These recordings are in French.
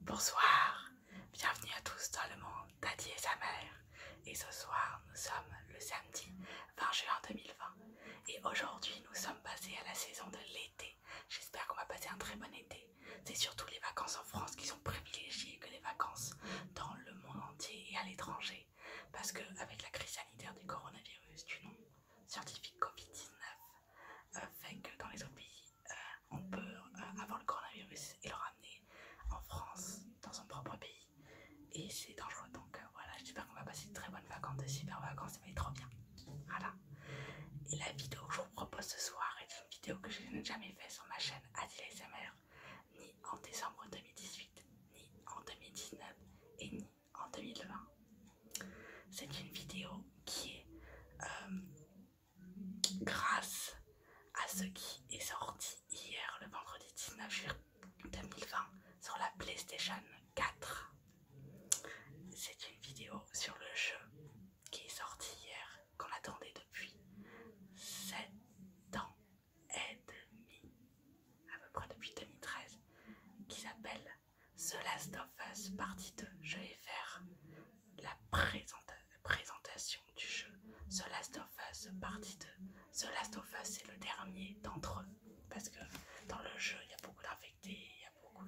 Bonsoir, bienvenue à tous dans le monde d'Addy et sa mère. Et ce soir, nous sommes le samedi 20 juin 2020. Et aujourd'hui, nous sommes passés à la saison de l'été. J'espère qu'on va passer un très bon été. C'est surtout les vacances en France qui sont privilégiées que les vacances dans le monde entier et à l'étranger. Parce que avec la crise sanitaire du coronavirus du nom scientifique Covid-19, fait que dans les autres pays, on peut avoir le coronavirus et le ramener en France, dans son propre pays, et c'est dangereux. Donc euh, voilà, j'espère qu'on va passer de très bonnes vacances, de super vacances, ça va être trop bien. Voilà. Et la vidéo que je vous propose ce soir est une vidéo que je n'ai jamais faite sur ma chaîne ASMR. ni en décembre 2018, ni en 2019, et ni en 2020. C'est une vidéo qui est euh, grâce à ce qui est sorti hier le vendredi 19 juillet 2020 sur la PlayStation 4. C'est une vidéo sur le jeu qui est sorti hier, qu'on attendait depuis 7 ans et demi, à peu près depuis 2013, qui s'appelle The Last of Us partie 2. Je vais faire la présentation du jeu The Last of Us partie 2. The Last of Us c'est le dernier d'entre eux. Parce que dans le jeu, il y a beaucoup d'infectés, il y a beaucoup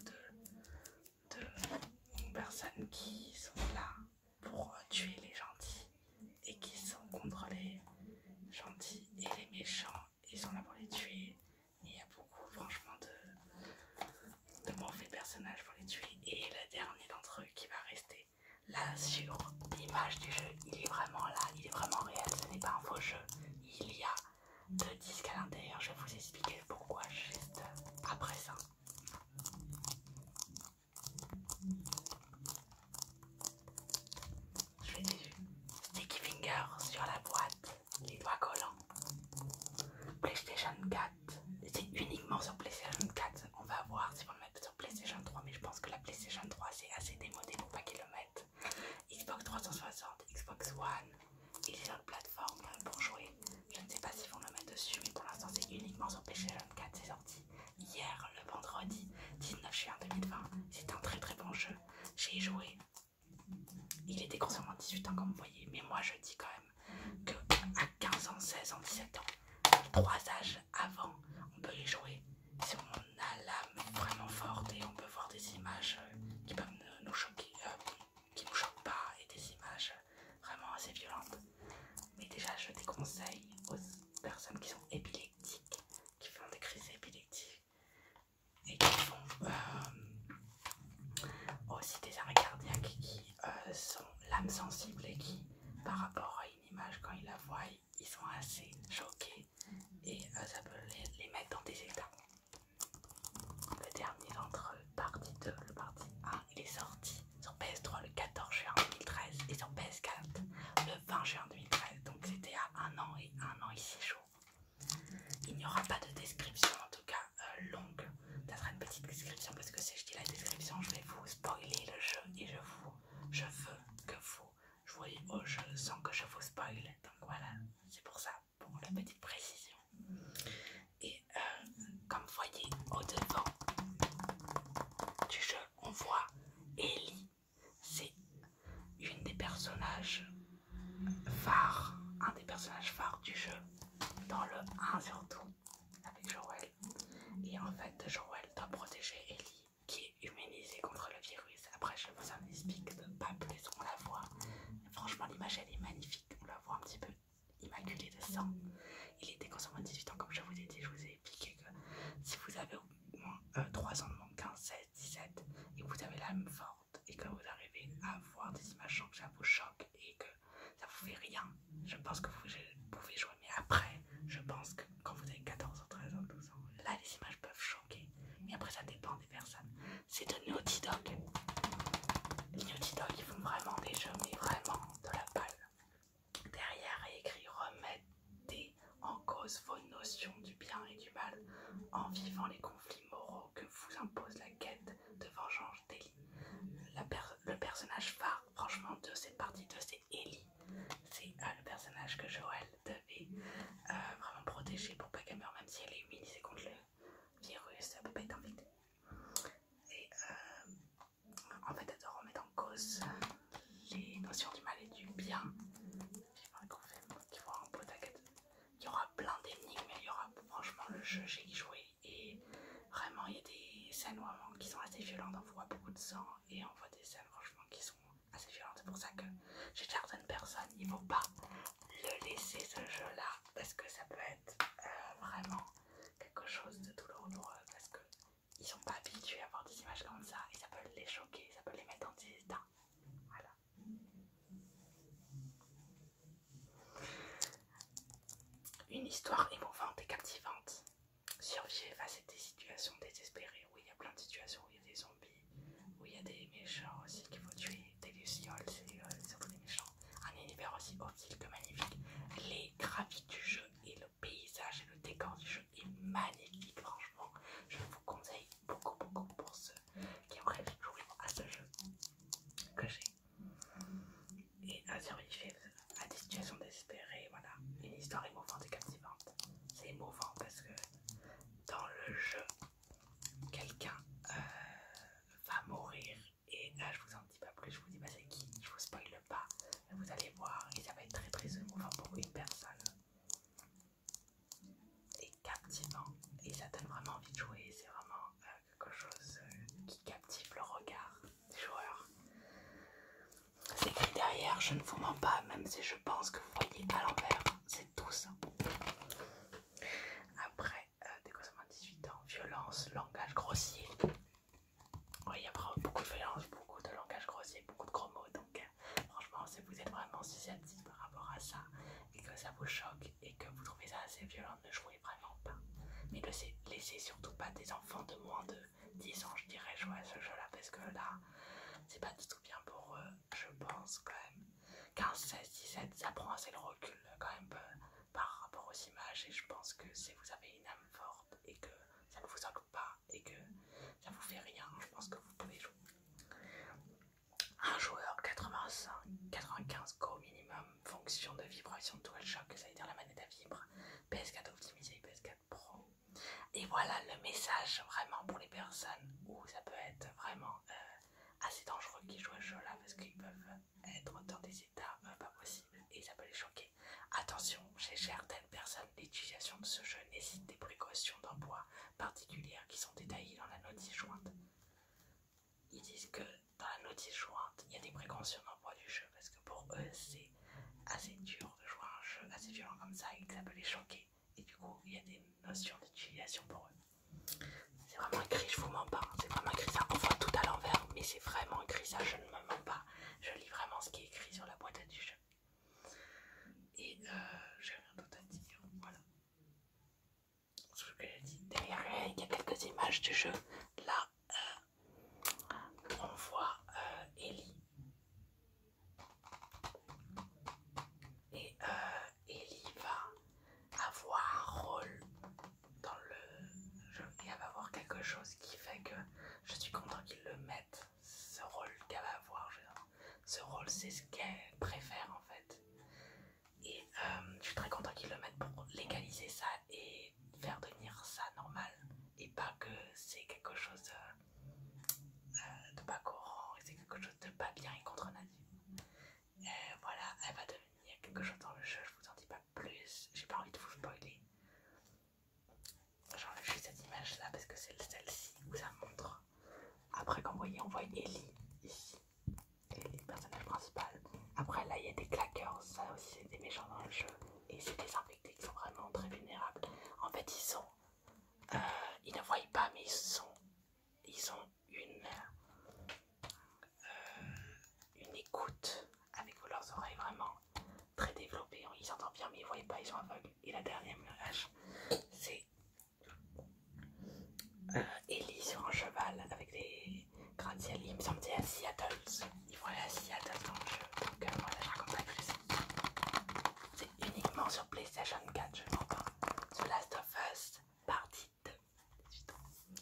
de personnes qui sont là pour tuer les gentils et qui sont contre les gentils et les méchants. Ils sont là pour les tuer il y a beaucoup, franchement, de, de mauvais personnages pour les tuer. Et le dernier d'entre eux qui va rester là sur l'image du jeu, il est vraiment là, il est vraiment réel. Ce n'est pas un faux jeu. Il y a deux disques à l'intérieur. Je vais vous expliquer pourquoi juste après ça. Je fais des sticky fingers sur la boîte les doigts collants. PlayStation 4, c'est uniquement sur PlayStation 4. On va voir si on le met sur PlayStation 3, mais je pense que la PlayStation 3 c'est assez démodé pour pas qu'ils le mettent. Xbox 360, Xbox One, il est sur une plateforme pour jouer. Je ne sais pas si on le met dessus, mais pour l'instant c'est uniquement sur PlayStation 4. C'est sorti hier, le vendredi 19 juin 2020. C'est un très très bon jeu. J'ai joué il était grossièrement 18 ans comme vous voyez, mais moi je dis quand même que à 15 ans, 16 ans, 17 ans, trois âges avant, on peut les jouer si on a l'âme vraiment forte et on peut voir des images euh, qui peuvent nous choquer, euh, qui nous choquent pas et des images vraiment assez violentes. Mais déjà, je déconseille aux personnes qui sont épileptiques, qui font des crises épileptiques, et qui font aussi des arrêts cardiaques qui euh, sont l'âme sensible et qui, par rapport à une image, quand ils la voient, ils sont assez choqués et euh, ça peut les, mettre dans des états. Le dernier d'entre eux, partie 2, le parti 1, il est sorti sur PS3 le 14 juin 2013 et sur PS4 le 20 juin 2013, donc c'était à un an et un an et six jours. Il n'y aura pas de description, en tout cas euh, longue. Ça sera une petite description parce que si je dis la description, je vais vous spoiler le jeu et je vous, veux que vous jouiez au jeu sans que je vous spoile Donc voilà, c'est pour ça, pour la petite précision. Et euh, comme vous voyez au devant du jeu, on voit Ellie. C'est une des personnages phare, un des personnages phares du jeu, dans le 1 surtout, avec Joel. Et en fait, Joel doit protéger Ellie, qui est humanisée contre le virus. Après, je vous en explique pas plus, on la voit. Franchement, l'image elle est magnifique, on la voit un petit peu immaculée de sang. Il était consommé 18 ans, comme je vous ai dit, je vous ai expliqué que si vous avez au moins 3 euh, ans de moins, 15, 16, 17, et vous avez la même forme, et que vous arrivez à voir des images sans que ça vous choque et que ça vous fait rien, je pense que vous pouvez jouer. Mais après, je pense que quand vous avez 14 ou 13 ans, 12 ans, là les images peuvent choquer. Mais après, ça dépend des personnes. C'est de Naughty Dog. Les Naughty Dog, ils font vraiment des jeux, mais vraiment de la balle. Derrière est écrit remettez en cause vos notions du bien et du mal en vivant les conflits moraux que vous impose la quête de vengeance d'Eli. le personnage phare, franchement, de cette partie 2, c'est Ellie. C'est euh, le personnage que Joël devait euh, vraiment protéger pour pas qu'elle meure, même si elle est humilisée contre le virus peut pas être infectée. Et euh, en fait, elle doit remettre en cause les notions du mal et du bien. Il y aura plein d'énigmes, il y aura franchement le jeu, j'ai joué et vraiment il y a des scènes vraiment qui sont assez violentes, on voit beaucoup de sang et on voit des scènes franchement qui sont assez violentes. C'est pour ça que chez certaines personnes, il ne faut pas le laisser ce jeu là parce que ça peut être euh, vraiment quelque chose de douloureux parce qu'ils sont pas habitués à voir des images comme ça et ça peut les choquer, ça peut les mettre en des une histoire émouvante et captivante. Survivez face à des situations désespérées où il y a plein de situations où il y a des zombies, où il y a des méchants aussi qu'il faut tuer, des lucioles, c'est euh, des méchants. Un univers aussi hostile que magnifique. Les graphiques du jeu et le paysage et le décor du jeu est magnifique, franchement. Je vous conseille beaucoup, beaucoup pour ceux qui rêvé joué à ce jeu que j'ai et à survivre à des situations désespérées. Voilà, une histoire émouvante et captivante. C'est émouvant parce que dans le jeu, quelqu'un euh, va mourir et là je vous en dis pas plus, je vous dis pas c'est qui, je vous spoil pas, vous allez voir et ça va être très très émouvant pour une personne. Et captivant et ça donne vraiment envie de jouer. C'est vraiment euh, quelque chose euh, qui captive le regard des joueurs. C'est écrit derrière, je ne vous mens pas, même si je pense que vous voyez à l'envers, c'est tout ça. Après, euh, des dès que 18 ans, violence, langage grossier. Oui, il y a beaucoup de violence, beaucoup de langage grossier, beaucoup de gros mots, donc Franchement, si vous êtes vraiment susceptible par rapport à ça et que ça vous choque et que vous trouvez ça assez violent, ne jouez vraiment pas. Mais laissez, surtout pas des enfants de moins de 10 ans, je dirais, jouer à ce jeu-là parce que là, c'est pas du tout bien pour eux, je pense quand même. 15, 16, 17, ça prend assez le recul quand même euh, par rapport aux images et je pense que si vous avez une âme forte et que ça ne vous occupe pas et que ça vous fait rien, je pense que vous pouvez jouer. Un joueur 85, 95 co minimum, fonction de vibration choc, ça veut dire la manette à vibre, PS4 optimisé, PS4 Pro. Et voilà le message vraiment pour les personnes où ça peut être vraiment euh, assez dangereux qui jouent à ce jeu-là parce qu'ils peuvent être dans des états euh, pas possibles et ça peut les choquer. Attention, chez certaines personnes, l'utilisation de ce jeu nécessite des précautions d'emploi particulières qui sont détaillées dans la notice jointe. Ils disent que dans la notice jointe, il y a des précautions d'emploi du jeu parce que pour eux, c'est assez dur de jouer un jeu assez violent comme ça et que ça peut les choquer. Et du coup, il y a des notions d'utilisation pour eux. C'est vraiment écrit, je vous mens pas. Hein. C'est vraiment écrit ça, enfin tout à l'envers, mais c'est vraiment écrit ça, je ne me mens pas. Je lis vraiment ce qui est écrit sur la boîte du jeu. Et euh, j'ai rien d'autre à dire, voilà. Ce que j'ai dit. Derrière, il y a quelques images du jeu. Là, euh, on voit euh, Ellie. Et euh, Ellie va avoir un rôle dans le jeu. Et elle va avoir quelque chose qui fait que je suis content qu'ils le mettent ce rôle qu'elle va avoir. Ce rôle, c'est ce qu'elle préfère en fait. Et euh, je suis très content qu'ils le mettent pour légaliser ça et faire devenir ça normal. Et pas que c'est quelque chose de, euh, euh, de pas courant, c'est quelque chose de pas bien et contre nature. voilà, elle va devenir quelque chose dans le jeu, je vous en dis pas plus. J'ai pas envie de vous spoiler. J'enlève juste cette image là parce que c'est celle-ci vous ça montre après, qu'on vous voyez, on voit Ellie ici. Ellie, personnage principal. Après, là, il y a des claqueurs. Ça aussi, c'est des méchants dans le jeu. Et c'est des infectés qui sont vraiment très vulnérables. En fait, ils sont. Euh, ils ne voient pas, mais ils sont. Ils ont une. Euh, une écoute avec leurs oreilles vraiment très développées. Ils entendent bien, mais ils ne voient pas, ils sont aveugles. Et la dernière c'est euh, Ellie sur un cheval avec des gratte-ciel. Il me semble c'est à Seattle. Ils vont aller à Seattle dans le jeu. Donc voilà, euh, je C'est uniquement sur PlayStation 4, je pas. Hein. The Last of Us Partie 2.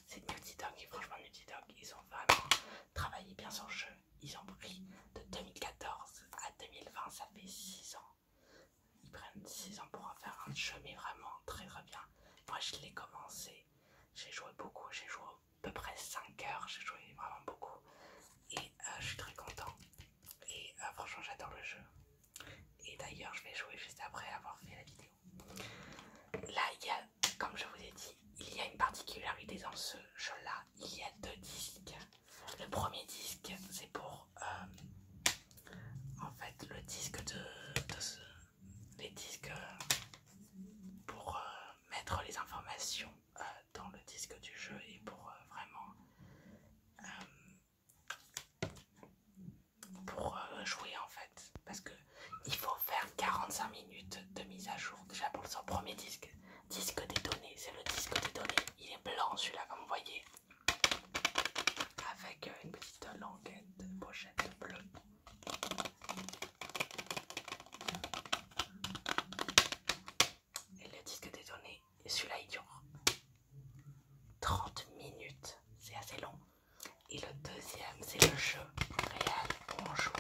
C'est Naughty Dog franchement Naughty Dog, ils ont vraiment travaillé bien sur le jeu. Ils ont pris de 2014 à 2020, ça fait 6 ans. Ils prennent 6 ans pour en faire un jeu, mais vraiment très très bien. Moi je l'ai commencé, j'ai joué beaucoup, j'ai joué à peu près 5 heures, j'ai joué vraiment beaucoup. Et euh, je suis très content. Et euh, franchement j'adore le jeu. Et d'ailleurs je vais jouer juste après avoir fait la vidéo. Là il y a, comme je vous ai dit, il y a une particularité dans ce jeu là, il y a deux disques. Le premier disque, c'est pour euh, en fait le disque de, les disques euh, pour euh, mettre les informations dans le disque du jeu et pour vraiment pour jouer en fait parce que il faut faire 45 minutes de mise à jour déjà pour son premier disque Disque des données, c'est le disque des données. Il est blanc celui-là, comme vous voyez. Avec euh, une petite languette, pochette bleue. Et le disque des données, celui-là il dure 30 minutes, c'est assez long. Et le deuxième, c'est le jeu réel où on joue.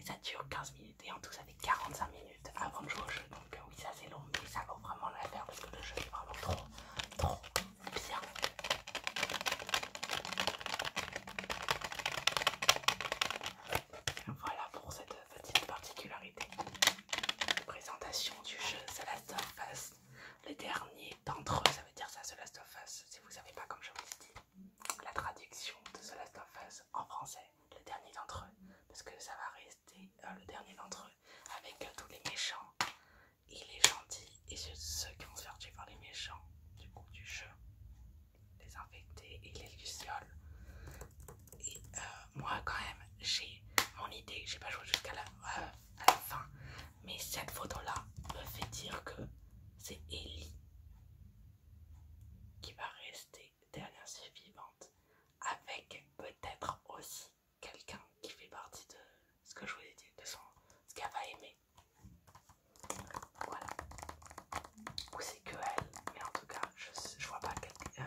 Et ça dure 15 minutes et en tout ça fait 45 minutes avant de jouer au jeu donc euh, oui ça c'est long mais ça vaut vraiment peine parce que le jeu est vraiment trop trop bien voilà pour cette petite particularité présentation du jeu The Last of Us le dernier d'entre eux ça veut dire ça The Last of Us si vous savez pas comme je vous ai dit la traduction de The Last of Us en français le dernier d'entre eux, parce que ça va rester euh, le dernier d'entre eux avec euh, tous les méchants et les gentils et ceux, qui ont se faire tuer par les méchants du coup du jeu, les infectés et les lucioles. Et euh, moi quand même j'ai mon idée, j'ai pas joué jusqu'à la fin, mais cette photo là me fait dire que c'est Ellie qui va rester dernière survivante avec peut-être aussi quelqu'un qui fait partie de ce que je vous ai dit, de son, ce qu'elle va aimer. Voilà. Ou c'est que elle, mais en tout cas, je, je vois pas euh,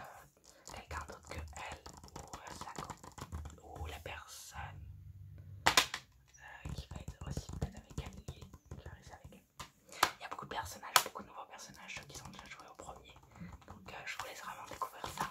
quelqu'un d'autre que elle ou, la, euh, ou la personne euh, qui va être aussi belle avec elle, qui va avec elle. Il y a beaucoup de personnages, beaucoup de nouveaux personnages qui sont déjà joués au premier. Donc euh, je vous laisse vraiment découvrir ça.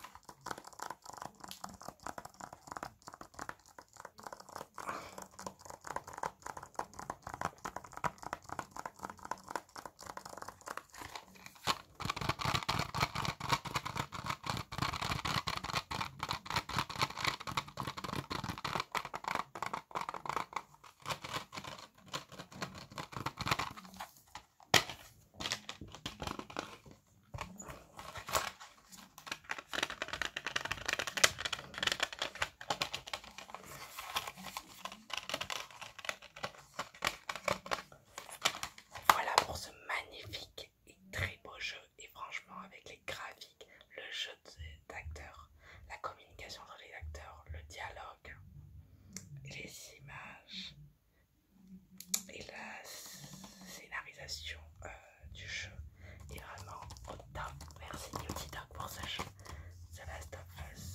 Voilà pour ce magnifique et très beau jeu et franchement avec les graphiques, le jeu acteurs, la communication entre les acteurs, le dialogue, les images et la scénarisation euh, du jeu est vraiment au top. Merci Beauty Dog pour ce jeu. The Last of Us.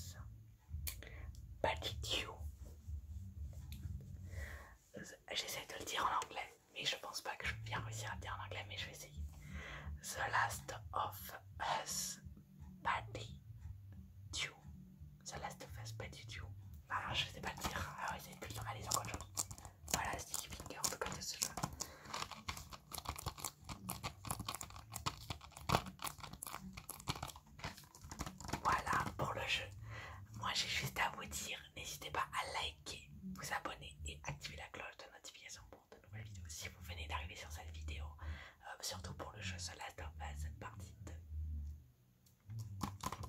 J'essaie de le dire en anglais, mais je pense pas que je vais bien réussir à le dire en anglais, mais je vais essayer. The Last of Us Patty 2. ça laisse of Us Patty Dew. Ah, je sais pas le dire. alors ah ils c'est plus dans ma liste encore chose. Voilà, Sticky Finger, on peut connaître ce jeu. Voilà pour le jeu. Moi j'ai juste à vous dire, n'hésitez pas à liker, vous abonner et activer la cloche de notification de nouvelles vidéos. Si vous venez d'arriver sur cette vidéo, euh, surtout pour le jeu The hein, Last partie 2.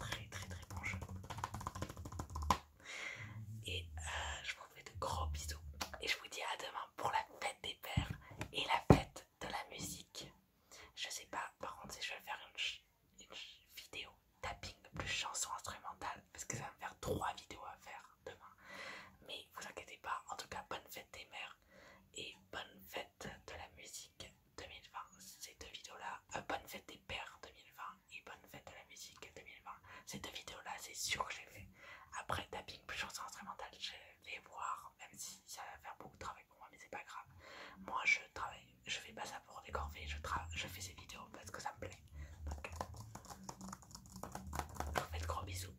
Très très très bon Et euh, je vous fais de gros bisous. Et je vous dis à demain pour la fête des pères et la fête de la musique. Je sais pas par contre si je vais faire une, vidéo tapping plus chanson instrumentale parce que ça va me faire trois vidéos à faire demain. Mais vous inquiétez pas, en tout cas, bonne fête des mères et bonne fête de la musique 2020. Ces deux vidéos-là, euh, bonne fête des pères 2020 et bonne fête de la musique 2020. Ces deux vidéos-là, c'est sûr que j'ai fait. Après tapping plus chanson instrumentale, je vais voir, même si ça va faire beaucoup de travail pour moi, mais c'est pas grave. Moi, je travaille, je fais pas ça pour décorver, je, je fais ces vidéos parce que ça me plaît. Donc, je de gros bisous.